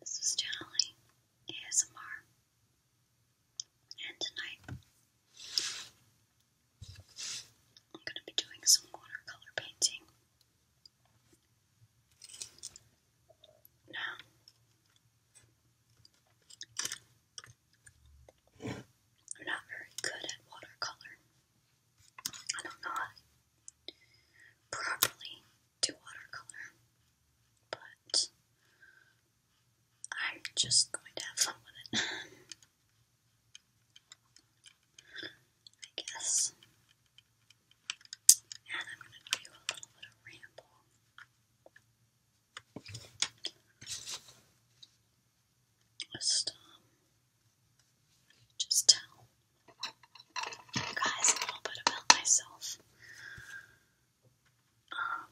This is Generally ASMR. And tonight, I'm going to be doing some watercolor painting. Now, I'm not very good at watercolor. I don't know properly do watercolor, but I'm just going to have fun with it. I guess. And I'm going to do a little bit of ramble. Just, um, just tell guys a little bit about myself. Um,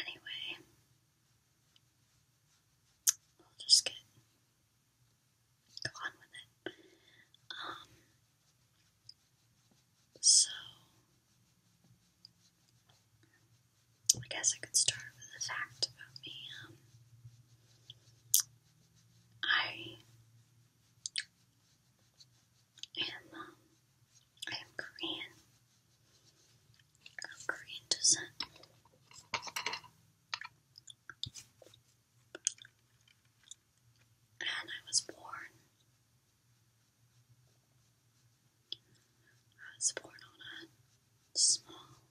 anyway, I'll just get go with it. Um, so I guess I could start with the fact about me. Um, I am, um, I am Korean, Korean descent. And I was born I was born on a small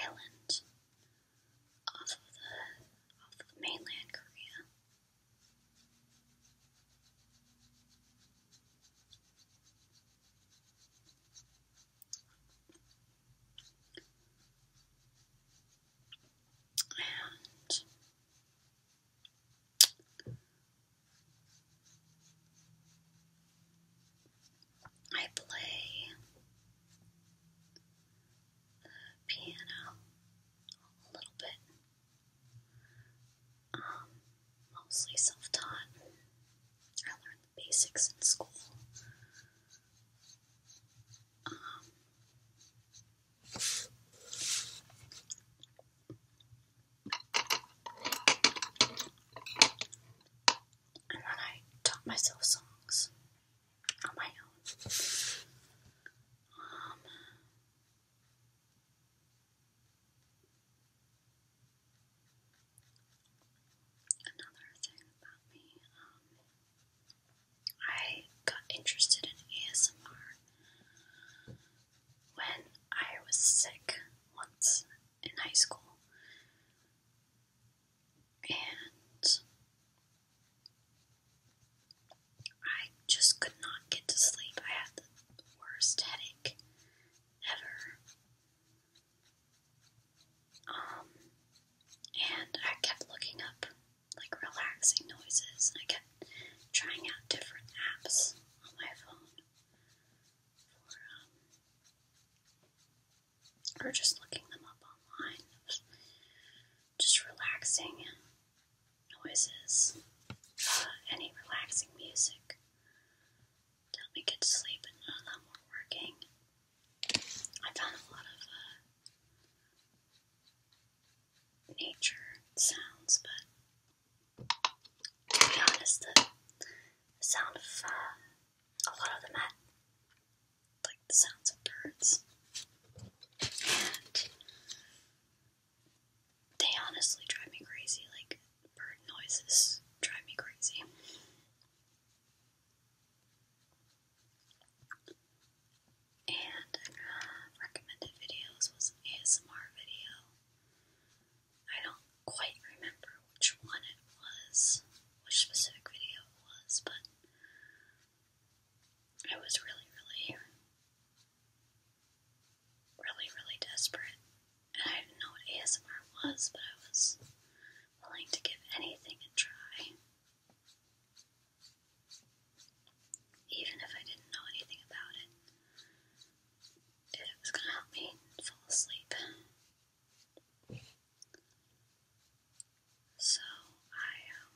island off of the mainland Korea. And I play the piano a little bit, um, mostly self taught. I learned the basics in school. Um, and then I taught myself songs on my own. Um, another thing about me, um, I got interested in ASMR when I was sick once in high school, and I just could not get to sleep. I had the worst headache ever. Um, and I kept looking up like relaxing noises, and I kept trying out different apps on my phone um, or just looking them up online. Just relaxing noises, uh, any relaxing music help me get to sleep and none of them were working. I found a lot of uh, nature sounds, but to be honest, the, sound of uh, a lot of them like the sounds of birds, they honestly drive me crazy. Like bird noises drive me crazy. And uh, recommended videos was an ASMR video I don't quite remember which one it was, which specific video it was, but I was really, really, really, really desperate. And I didn't know what ASMR was, but I was willing to give anything a try. Even if I didn't know anything about it it was going to help me fall asleep. So I um,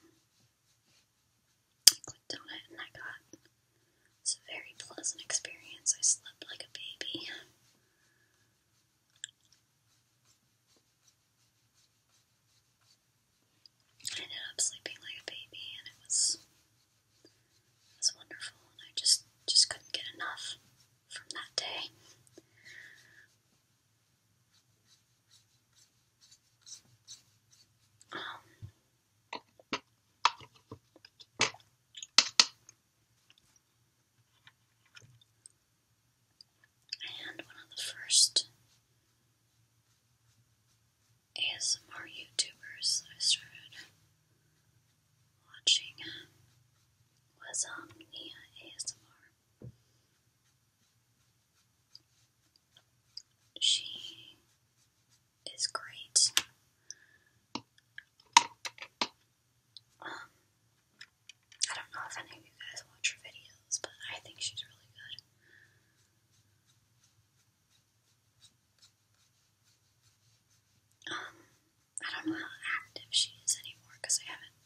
clicked on it and I got a very pleasant experience. I slept like a baby. I ended up sleeping like a baby, and it was it was wonderful, and I just just couldn't get enough from that day. Um, and one of the first ASMR YouTubers I started watching was um, Nia ASMR. She is great. Um, I don't know if any of you guys watch her videos, but I think she's really good. Um, I don't know how active she is anymore because I haven't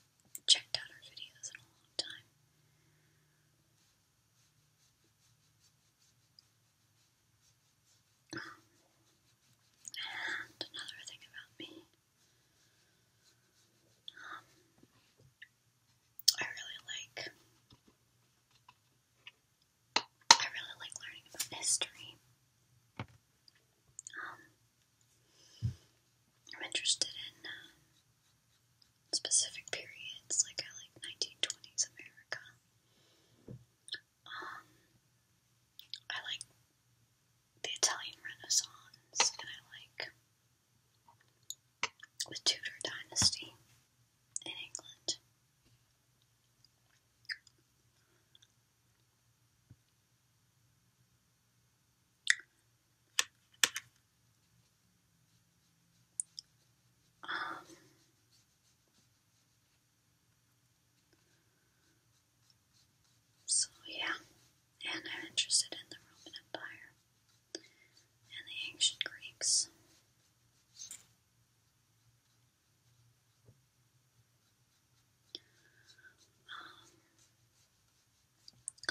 checked out her videos in a long time. and another thing about me. Um, I really like I really like learning about history. Um, I'm interested in um, specific periods, like I like 1920s America. Um, I like the Italian Renaissance, and I like the Tudor dynasty in England. Um, so, yeah, and I'm interested in the Roman Empire and the ancient Greeks. Um,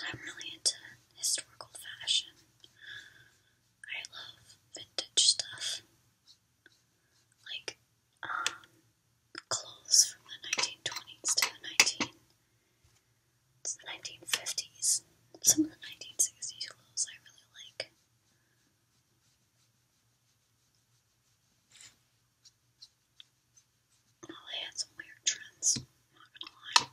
I'm really into historical fashion. I love vintage stuff. Like um, clothes from the 1920s to the 19 to the 1950s. Some of the 1960s clothes I really like. Well, oh, they had some weird trends, not gonna lie.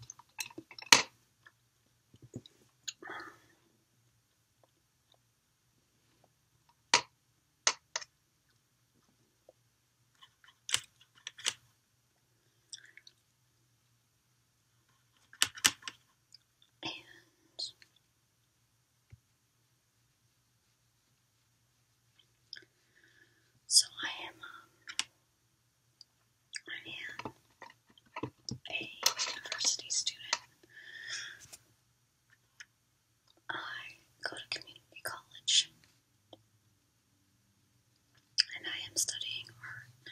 And so I am, um, I am a university student. I go to community college and I am studying art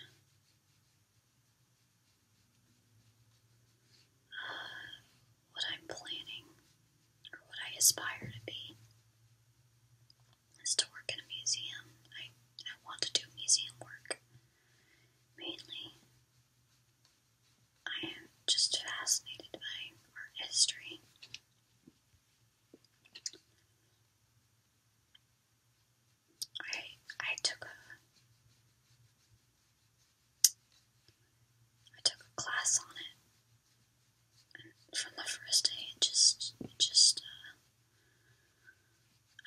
what I'm planning or what I aspire to be is to work in a museum. I, I want to do museum work mainly. I am just fascinated by art history. I I took I took a class on it. And from the first day, it just, it just, uh,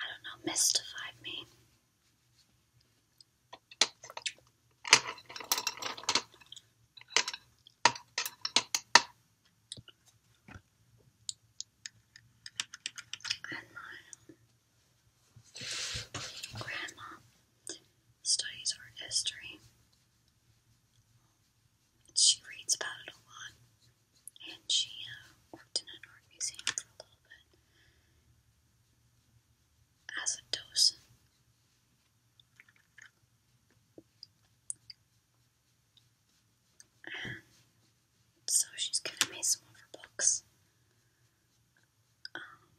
I don't know, mystified me. Grandma studies art history. She reads about it a lot, and she uh, worked in an art museum for a little bit as a docent. so she's giving me some of her books. Um,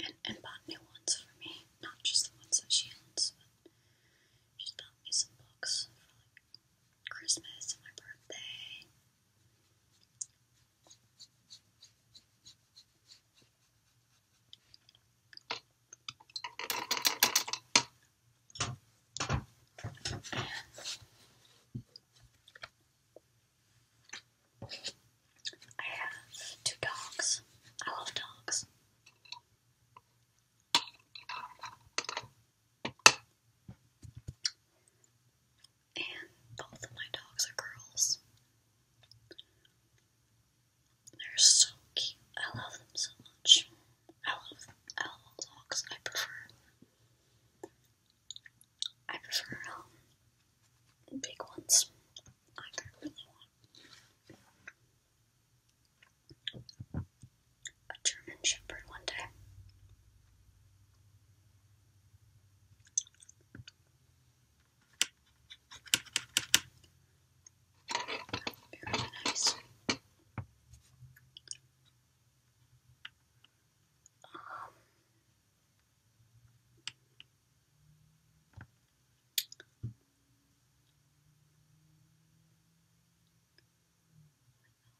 and, and bought new ones for me, not just the ones that she owns, but she's bought me some books for like Christmas and my birthday. I have two dogs. I love dogs. And both of my dogs are girls. They're so cute. I love them so much. I love them. I love all dogs. I prefer I prefer um, big ones. I really want a German Shepherd one day. Very nice. Um, what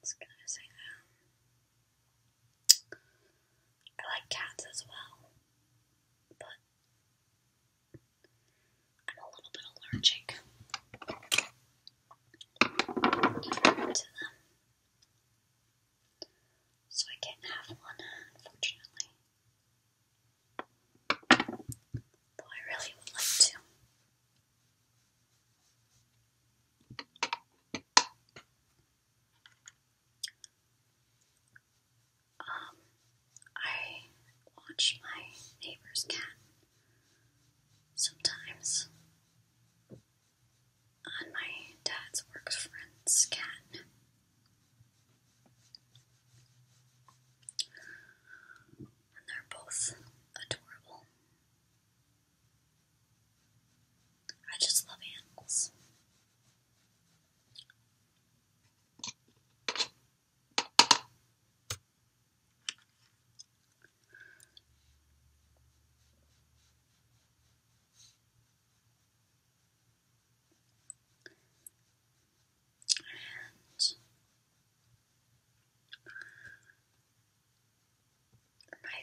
else can I say I like cats as well, but I'm a little bit allergic to them. So I can't have one, unfortunately. Though I really would like to. Um, I watch my neighbor's cat sometimes on my dad's work friend's cat. And they're both adorable. I just love animals my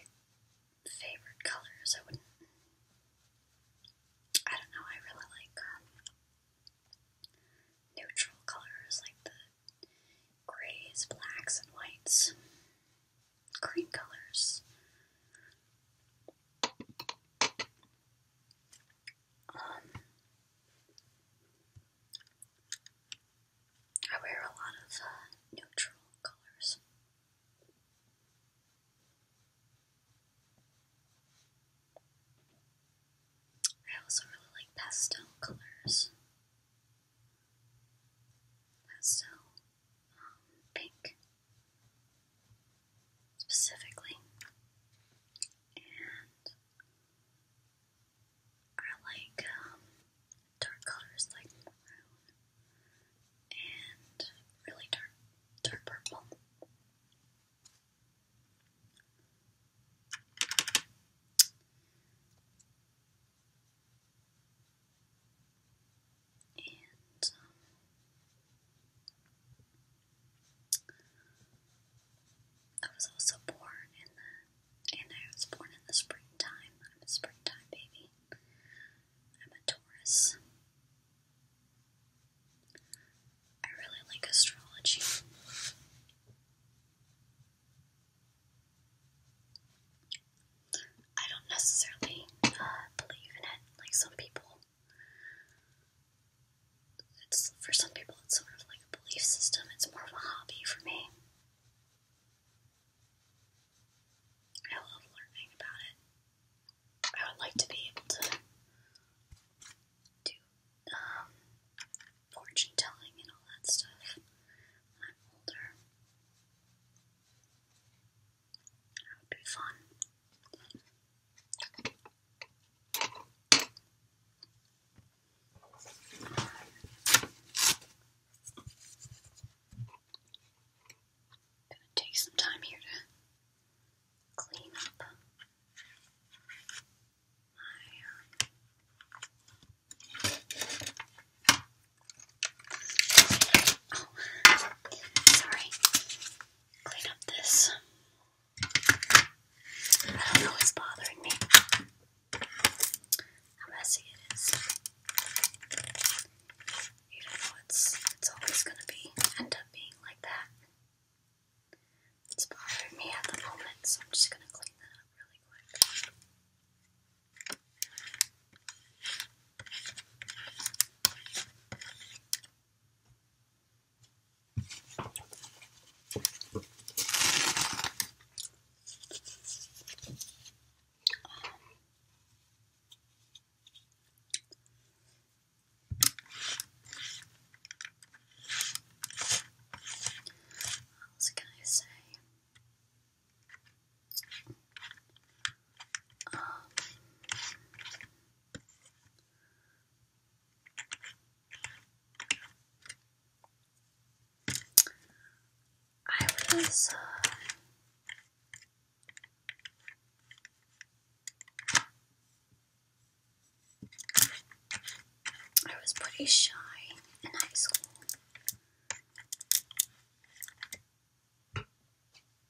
favorite colors, I wouldn't. I don't know, I really like um, neutral colors like the grays, blacks, and whites. Cream colors. Um, I wear a lot of uh, neutral colors. I also really like pastel colors. Pastel, um, pink, specifically, and like um, dark colors like maroon and really dark, dark purple. And um, I was also born in the, and I was born in the springtime. I'm a springtime baby. I'm a Taurus. I really like astrology. I don't necessarily uh, believe in it like some people. It's for some people it's sort of like a belief system. It's more of a hobby for me. I love learning about it. I would like to be able to do um, fortune telling and all that stuff when I'm older. That would be fun. Gonna take some time here to clean up my um, Sorry. Clean up this. I don't know what's bothering me. How messy it is. You do it's it's always gonna be end up being like that. It's bothering me at the moment, so I'm just gonna clean that up really quick. What else can I say? I was uh, I was pretty shy in high school. But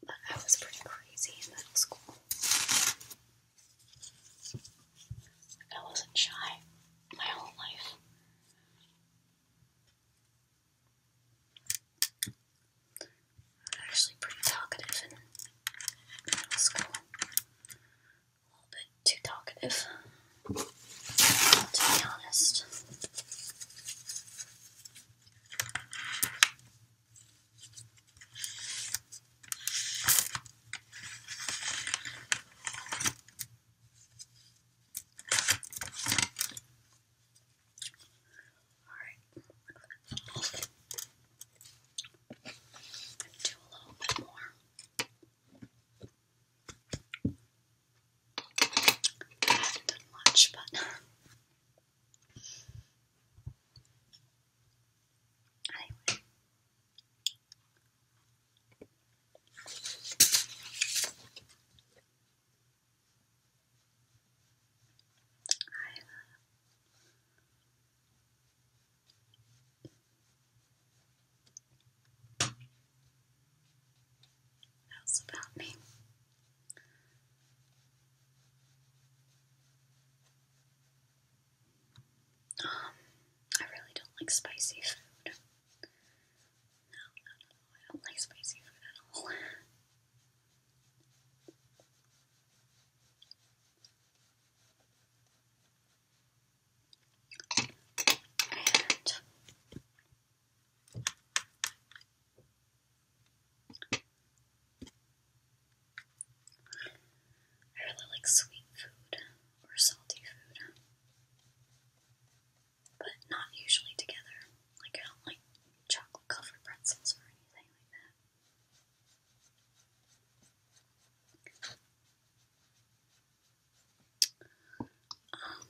I was pretty crazy in middle school. I wasn't shy my whole life. I'm actually pretty talkative in middle school. A little bit too talkative, to be honest right. Do a little bit more. not much, but Anyway. I love what else about me? Um, I really don't like spicy food. No, no, no, I don't like spicy food at all. And I really like sweet food or salty food, but not usually together. Like, I don't like chocolate covered pretzels or anything like that. Um,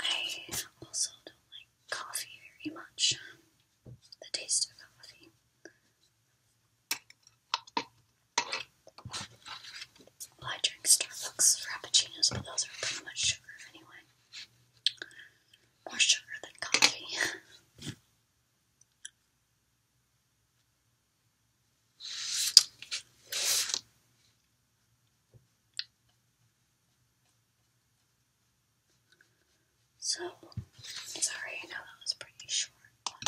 I also don't like coffee very much. The taste of coffee. I drink Starbucks frappuccinos, but those are pretty much sugar anyway. More sugar than coffee. So, sorry, I know that was pretty short, I'll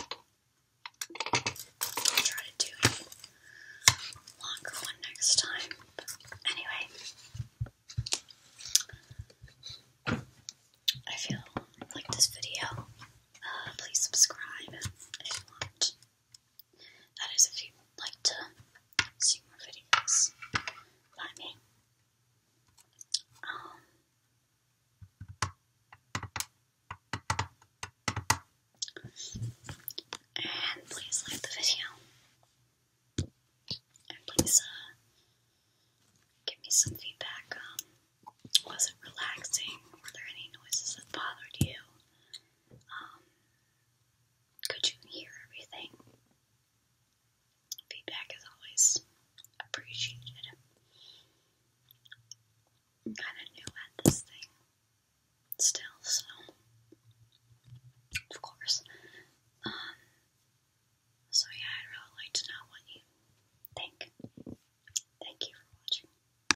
try to do longer one next time. anyway, I feel like this video. Uh, please subscribe if you want. That is, if you would like to see more videos by me. Um, and please like the video. And please uh, give me some feedback. Um, was it relaxing? Were there any noises that bothered you? Um, could you hear everything? Feedback is always appreciated. kind of new at this thing still, so of course. Um, so yeah, i really like to know you think. Thank you for watching.